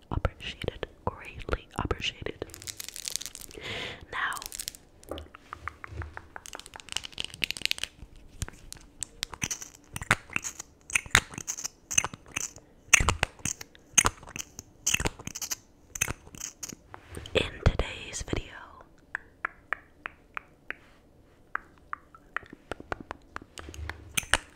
greatly appreciated. Greatly appreciated. Now, in today's video,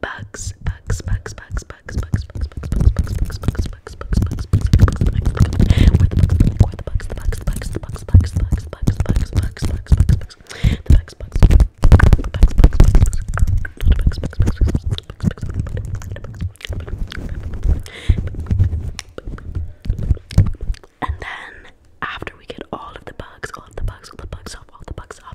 bugs, bugs, bugs, bugs, bugs, bugs, bugs, bugs, bugs, bugs, bugs, bugs, bugs, bugs, bugs, bugs, the bugs, the bugs, the bugs, the bugs, bugs, bugs, bugs, bugs, bugs, bugs, bugs, bugs, the bugs, bugs, the bugs, bugs, bugs, the bugs, bugs, bugs, bugs, and then after we get all of the bugs, all of the bugs, all the bugs off, all the bugs off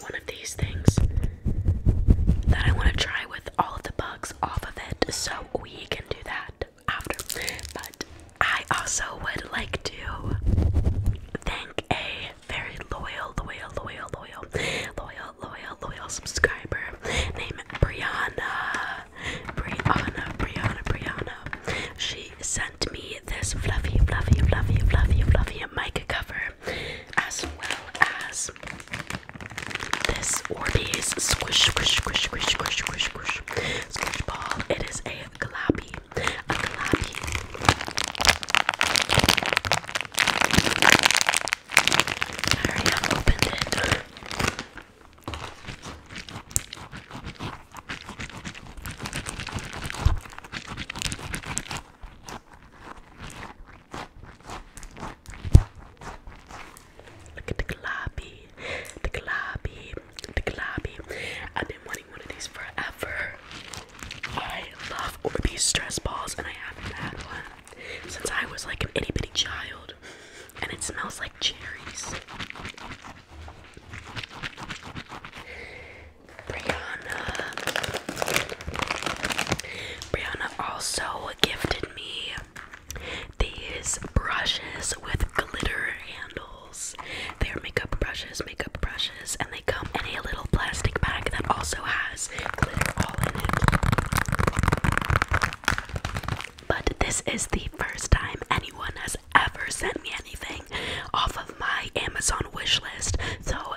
one of these things that I want to try with all of the bugs off of it, so we can do that after. But I also would like to thank a very loyal, loyal, loyal, loyal, loyal, loyal, loyal subscriber named Brianna. Brianna, Brianna, Brianna. She sent me this fluffy, fluffy, fluffy, fluffy, fluffy mic cover as well as this Orbeez squish squish squish squish squish squish squish squish ball. It is a glappy, a glappy. I already have it. Look at the globby, the globby, the globby. I've been wanting one of these forever. I love Orbeez stress balls, and I haven't had one since I was like an itty bitty child. And it smells like cherries. Brianna, Brianna also gifted me these brushes with glitter handles. They're makeup brushes, makeup brushes, and they come in a little plastic bag that also has glitter all in it. But this is the first time anyone has ever sent me anything off of my Amazon wish list, so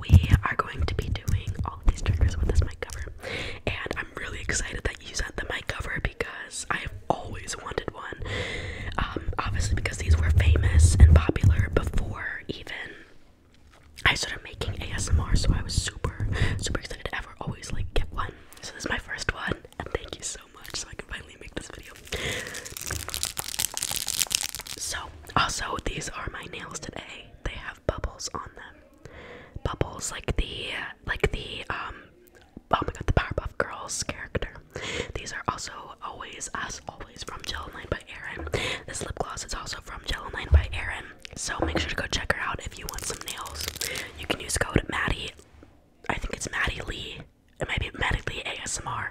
we are going to be doing all of these triggers with this mic cover. And I'm really excited that you sent the mic cover because I have always wanted one. Um, obviously, because these were famous and popular before even I started making ASMR, so I was super, super excited to ever always like get one. So, this is my first one, and thank you so much. So, I can finally make this video. So, also, these are my nails today. They have bubbles on them. Bubbles like the like the um oh my god the Powerpuff Girls character. These are also always as always from Gel Line by Erin. This lip gloss is also from Gel Line by Erin. So make sure to go check her out if you want some nails. You can use code Maddie. I think it's Maddie Lee. It might be Maddie Lee ASMR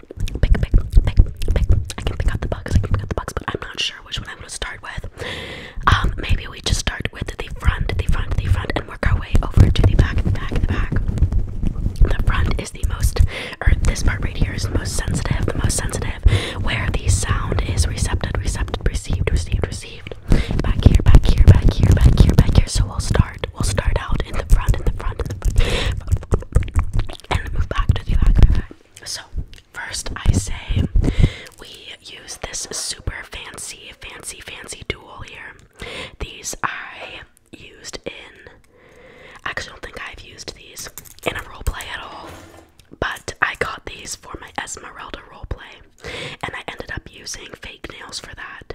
pick, pick, pick, pick, pick. I can pick out the box. I can pick out the box, but I'm not sure which one I'm gonna start with. Um, maybe we just start with the front, the front, the front, and work our way over to the back, the back, the back. The front is the most, or this part right here is the most sensitive, the most sensitive, where the sound is recepted, recepted, received, received, received. Back here, back here, back here, back here, back here. So we'll start. We'll start out in the front, in the front, in the front and move back to the back, So first, I say we use this super fancy, fancy, fancy duel here. These I used in. I actually don't think I've used these in a role play at all, but I got these for my Esmeralda role play, and I ended up using fake nails for that.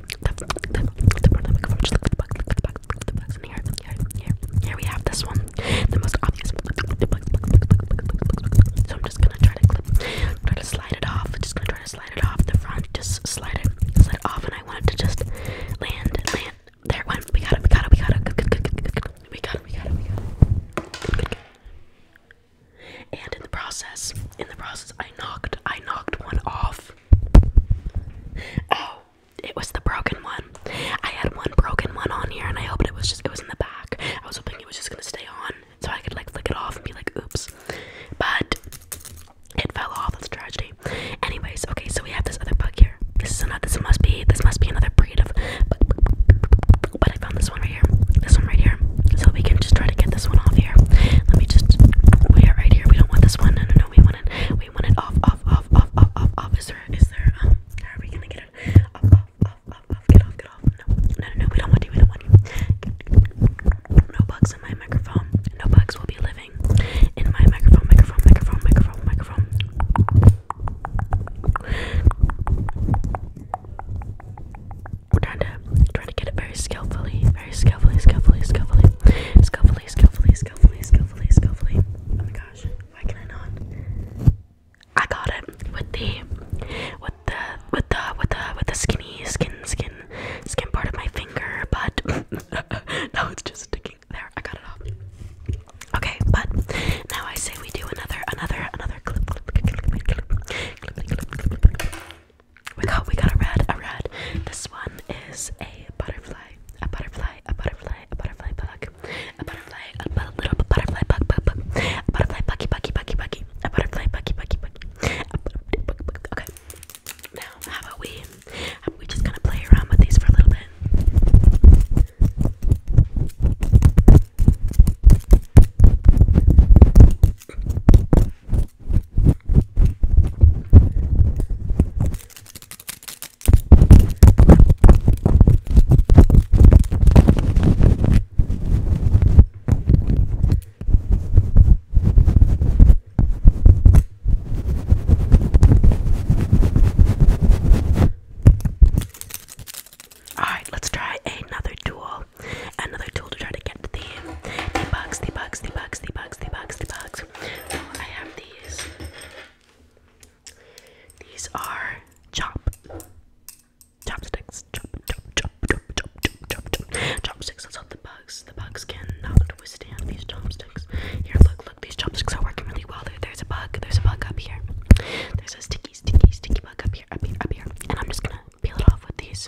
the pronoun coverage. Look at the box, look at the box, look at the box. And here, here, here, here we have this one. The most obvious one. So I'm just gonna try to clip, try to slide it off. Just gonna try to slide it off the front. Just slide it, slide it off. And I want it to just land, land. There it went. We got it, we got it, we got it. Good, good, good, good, good, good. We got it, we got it, we got it. Good, good, good. And in the process, in the process, I knocked, I knocked one off. Oh, it was the broken one. I had one broken one on here, and I hoped it was just, it was in the back. I was hoping it was just gonna stay on, so I could like flick it off and be like, oops. But it fell off. That's a tragedy. Anyways, okay, so we have this other bug here. This is another. This must be. This must be another breed of. But, but I found this one right here. This one right here. So we can just try to get. this get this one off here. Let me just we are right here. We don't want this one. No no no we want it we want it off off off off off off off. Is there is there um how are we gonna get it off off off off off get off get off no no no no we don't want you we don't want you no bugs in my microphone no bugs will be living in my microphone microphone microphone microphone microphone we're trying to trying to get it very skillfully, very skillfully, skillfully, skillfully, skillfully, skillfully, skillfully, skillfully, skillfully. Oh my gosh, why can I not? I got it with the with the with the with the with the skinny skin skin skin part of my finger, but now it's just sticking there. I got it off. Okay, but now I say we do another another another clip clip clip clip clip clip clip clip clip clip clip clip we got we got a red, a red. This one is a butterfly, a butterfly, a butterfly, a butterfly bug, a butterfly, a bu little butterfly bug, bug, bug, a butterfly buggy, buggy, buggy, buggy, a butterfly buggy, buggy, buggy. A bug, bug, bug. Okay. Now how about we how about we just kind of play around with these for a little bit? All right, let's try another tool another tool to try to get the the bugs, the bugs, the bugs, the bugs, the bugs, the bugs. So oh, I have these. These are chop chopsticks. Chop, chop, chop, chop, chop, chop, chop, chop. Chopsticks. That's all the bugs. The bugs cannot withstand these chopsticks. Here, look, look. These chopsticks are working really well. There, there's a bug. There's a bug up here. There's a sticky, sticky, sticky bug up here, up here, up here. And I'm just gonna peel it off with these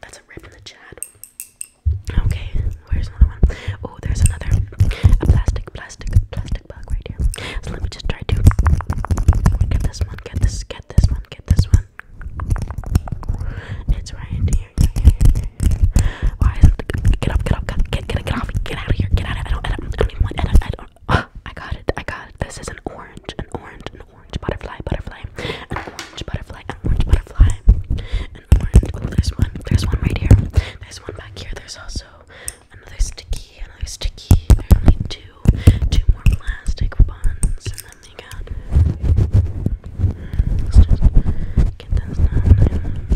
that's a rip in the chat. Okay, where's another one? Oh, there's another a plastic, plastic, plastic bug right here. let me just try to get this one, get this, get this one, get this one. It's right here. Why is it? Get up, get up, get get get get off, get out of here, get out of here. I don't, I I got it, I got it. This is an orange, an orange, an orange butterfly, butterfly, an orange butterfly, an orange butterfly, an orange. Oh, there's one. There's one right here. There's one back here. There's also another sticky, another sticky. There are only two, two more plastic ones, and then they got. Let's just get this done.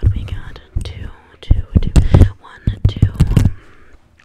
Good. We got two, two, two, one, two. Um,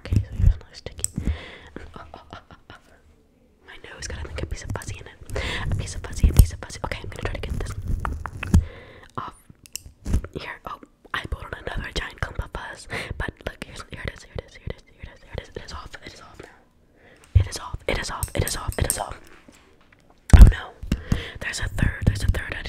Okay, so here's another sticky. Oh, My nose got I think piece of fuzzy in it. A piece of fuzzy, a piece of fuzzy. Okay, I'm gonna try to get this off. Here, oh, I pulled another giant clump of fuzz. But look, here it is, here it is, here it is, here it is, here it is. It is off, it is off now. It is off, it is off, it is off, it is off. Oh no, there's a third, there's a third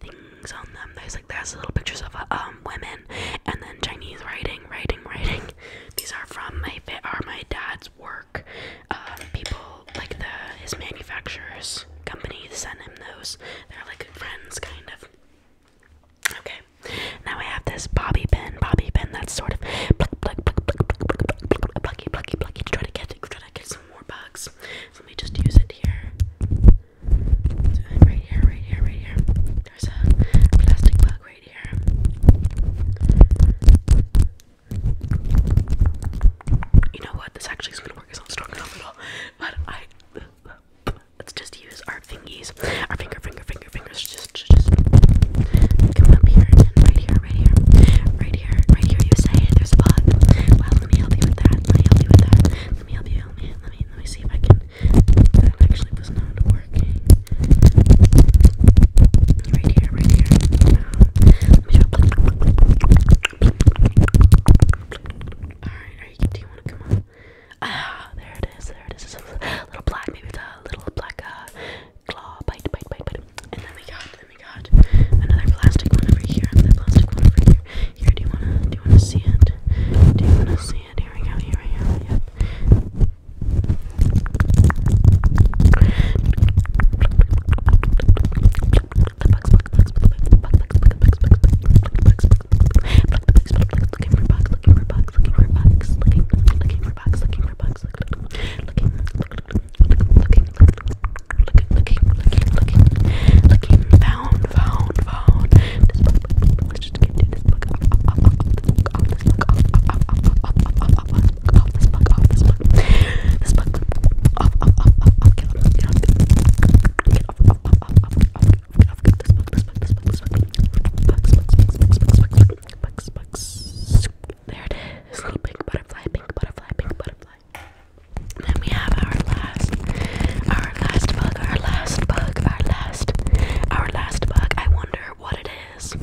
things on them. There's like there's little pictures of uh, um women and then Chinese writing, writing, writing. These are from my are my dad's work. Uh, people like the his manufacturers company sent him those. They're like friends, kind of. Okay, now I have this bobby pin, bobby pin that's sort of pluck, pluck, pluck, pluck, plucky, plucky, plucky to try to get, try to get some more bugs. let me just use it here. So I'm right here, right here, right here. There's a plastic bug right here. You know what? This actually is gonna work. It's not strong enough at all. But I let's just use our fingies, our finger, finger, finger, fingers. Just, just, just come up here and right here, right here, right here, right here. You say there's a bug. Well, let me help you with that. Let me help you with that. Let me help you. Help me. Let me. Let me see if I can that actually was not working. Right here, right here. Alright, do you want Ah, there it is, there it is. little black, maybe a little black uh, claw bite, bite, bite, bite. And then we got, then we got another plastic one over here, and the plastic one over here. Here, do you wanna do you wanna see it? Do you wanna see it? Here we go, here we go, yep. Looking for bugs, looking for bugs, looking for bugs, looking, looking for bugs, looking for bugs, looking, looking, looking, looking, looking, looking, looking, found, found, found. This there it is, pink butterfly, pink butterfly, pink butterfly. Then we have our last, our last bug, our last bug, our last, our last bug. I wonder what it is.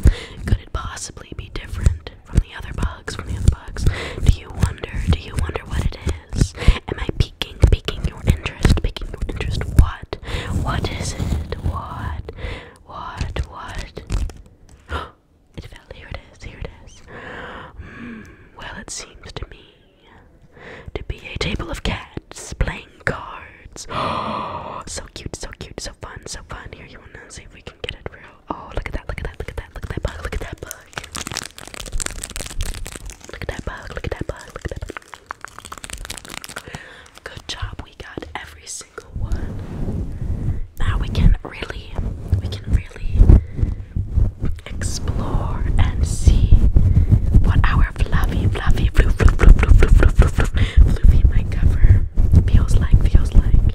Could it possibly be different from the other bugs? From the other bugs? Do you wonder? Do you wonder what it is? Am I piquing, piquing your interest? Piquing your interest? What? What is it? What? What? What? It fell. Here it is. Here it is. Hmm, well, it seems to me to be a table of cats playing cards. Oh, so cute, so cute, so fun, so fun. Here, you wanna see if we can get it real? Oh, look at that, look at that, look at that, look at that bug, look at that bug. Look at that bug, look at that bug, look at that bug. Good job, we got every single one. Now we can really, we can really explore and see what our fluffy, fluffy, fluffy, fluffy, fluffy, fluffy, fluffy, fluffy mic cover feels like, feels like.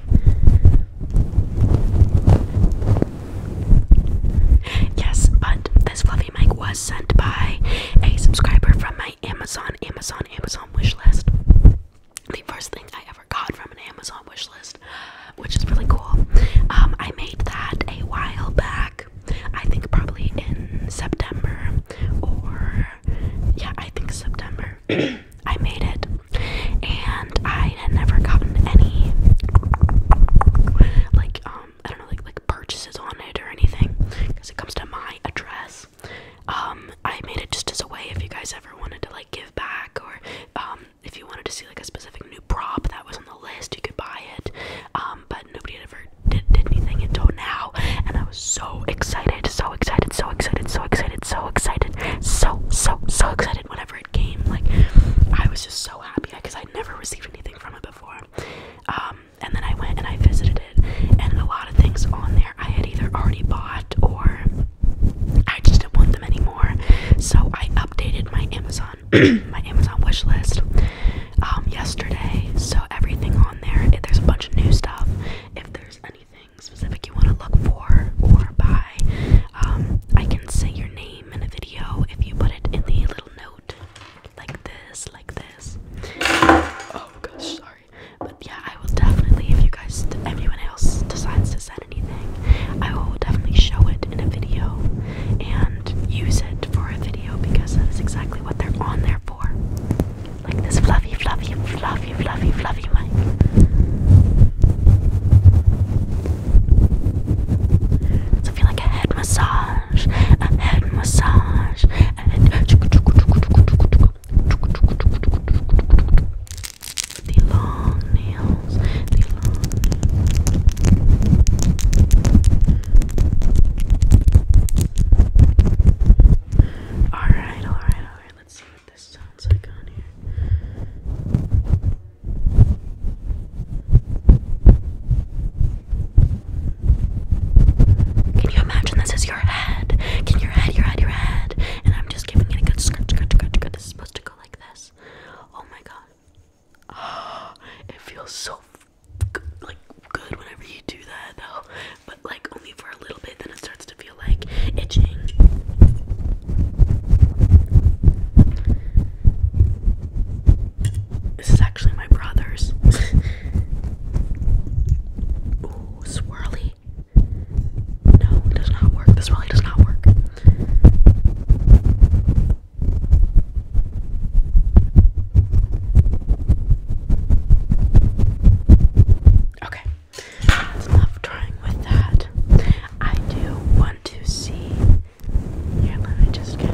Yes, but this fluffy mic was sent by a subscriber from my Amazon, Amazon, Amazon wish list. The first thing I ever got from an Amazon wish list, which is really cool. Um, I made that a while back. I think probably in September or yeah, I think September. I made it and I had never gotten any like um I don't know like like purchases on it or anything because it comes to my address. Um I made it just as a way if you guys ever wanted to like give back or um if you wanted to see like a specific new prop that was on the list, you could buy it. Um, but nobody had ever did, did anything until now, and I was so excited, so excited, so excited, so excited, so excited, so so so excited whenever it came. Like I was just so happy because I never received anything from it before. Um, and then I went and I visited it, and a lot of things on there I had either already bought or I just didn't want them anymore. So I updated my Amazon my Amazon wishlist um, yesterday. So everything on there. If eh, there's a bunch of new stuff. If there's anything specific you want to look for or buy, um, I can say your name in a video if you put it in the little note, like this, like this. Oh gosh, sorry. But yeah, I will definitely. If you guys, anyone else decides to send anything, I will definitely show it in a video and use it for a video because that is exactly what they're on there for. Like this fluffy, fluffy, fluffy, fluffy, fluffy mic. So I feel like a head massage, a head massage, The long nails. Alright, alright, alright. Let's see what this sounds like on here. Can you imagine this is your head? Can your head, your head, your head? And I'm just giving it a good scratch, scratch, scratch, scratch. This is supposed to go like this. Oh my god. it feels so like good whenever you do that though, but like only for a little bit, then it starts to feel like itching. This is actually my brother's. Ooh, swirly. No, it does not work. This really does not work. Okay. Love drawing with that. I do want to see. Here, let me just get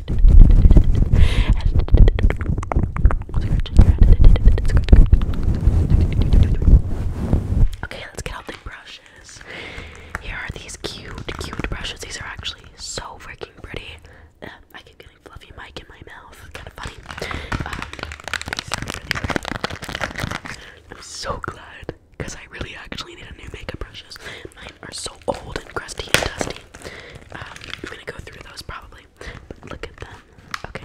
Okay, let's get out the brushes. Here are these cute, cute brushes. These are actually so freaking pretty. Um, I keep getting fluffy mic in my mouth. It's kind of funny. Um, I'm so glad because I really actually need a new makeup brushes are so old and crusty and dusty. Um, I'm gonna go through those probably. look at them. Okay.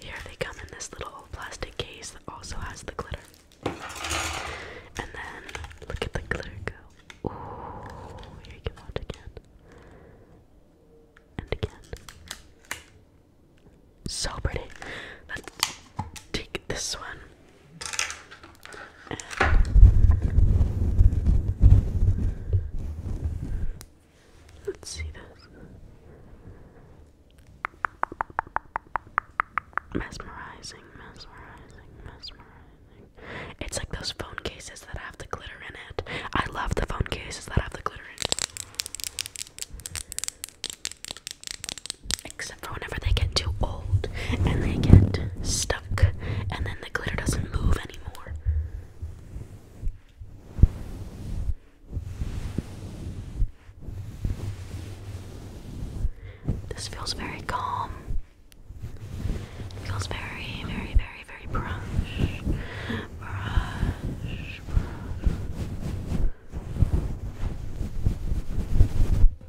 Here they come in this little plastic case that also has the glitter. And then look at the glitter go. Ooh, here you go out again. And again. So pretty. Let's take this one let's see this. Mesmerizing, mesmerizing, mesmerizing. It's like those phone cases that have the glitter in it. I love the phone cases that have the glitter in it. Except for whenever they get too old and they get stuck and then the glitter doesn't move anymore. This feels very calm. It feels very, very, very, very brush. Brush, brush.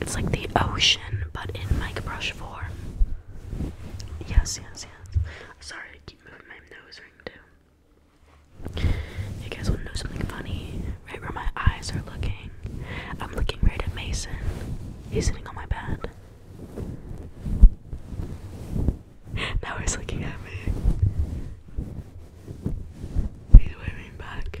It's like the ocean, but in mic brush form. Yes, yes, yes. Sorry, I keep moving my nose ring too. You guys want to know something funny? Right where my eyes are looking, I'm looking right at Mason. He's sitting on my bed. Now he's looking at me. He's waving back.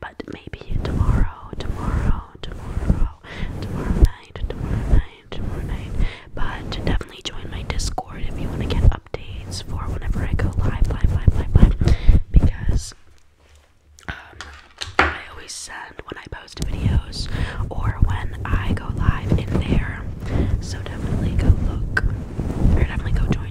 But maybe tomorrow, tomorrow, tomorrow, tomorrow night, tomorrow night, tomorrow night. But definitely join my Discord if you want to get updates for whenever I go live, live, live, live, live. Because um, I always send when I post videos or when I go live in there. So definitely go look or definitely go join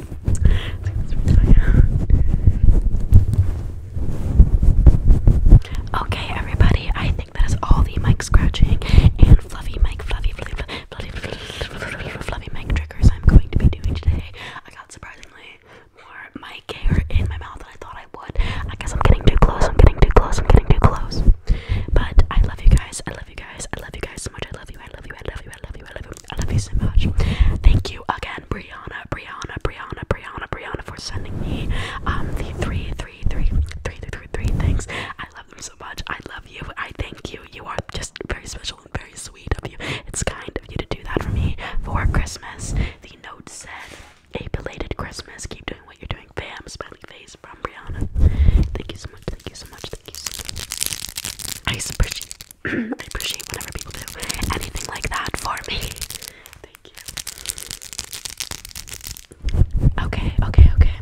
Okay, everybody, I think that is all the mic scratching and fluffy mic, fluffy, fluffy, fluffy, fluffy, fluffy mic triggers I'm going to be doing today. I got surprisingly more mic hair in my mouth than I thought I would. I guess I'm getting too close, I'm getting too close, I'm getting too close. But I love you guys, I love you guys, I love you guys so much, I love you, I love you, I love you, I love you, I love you, I love you so much. Thank you again, Brianna, Brianna, Brianna, Brianna, Brianna, for sending me um the three, three, three, three, three, three, three things. I love them so much. I love you. I thank you. You are just very special and very sweet of you. It's kind of you to do that for me for Christmas. The note said, "A belated Christmas. Keep doing what you're doing, fam." Smiley face from Brianna. Thank you so much. Thank you so much. Thank you so much. I appreciate, I appreciate whenever people do anything like that for me. Thank you. Okay, okay, okay.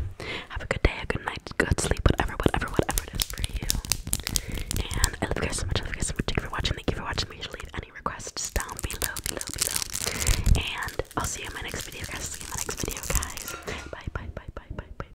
Have a good day, a good night, good sleep, whatever, whatever, whatever it is for you. And I love you guys so much. I love you guys so much. Thank you for watching. Thank you for watching. Make sure to leave any requests down below, below, below. And I'll see you in my next video, guys. See you in my next video, guys. Bye, bye, bye, bye, bye, bye,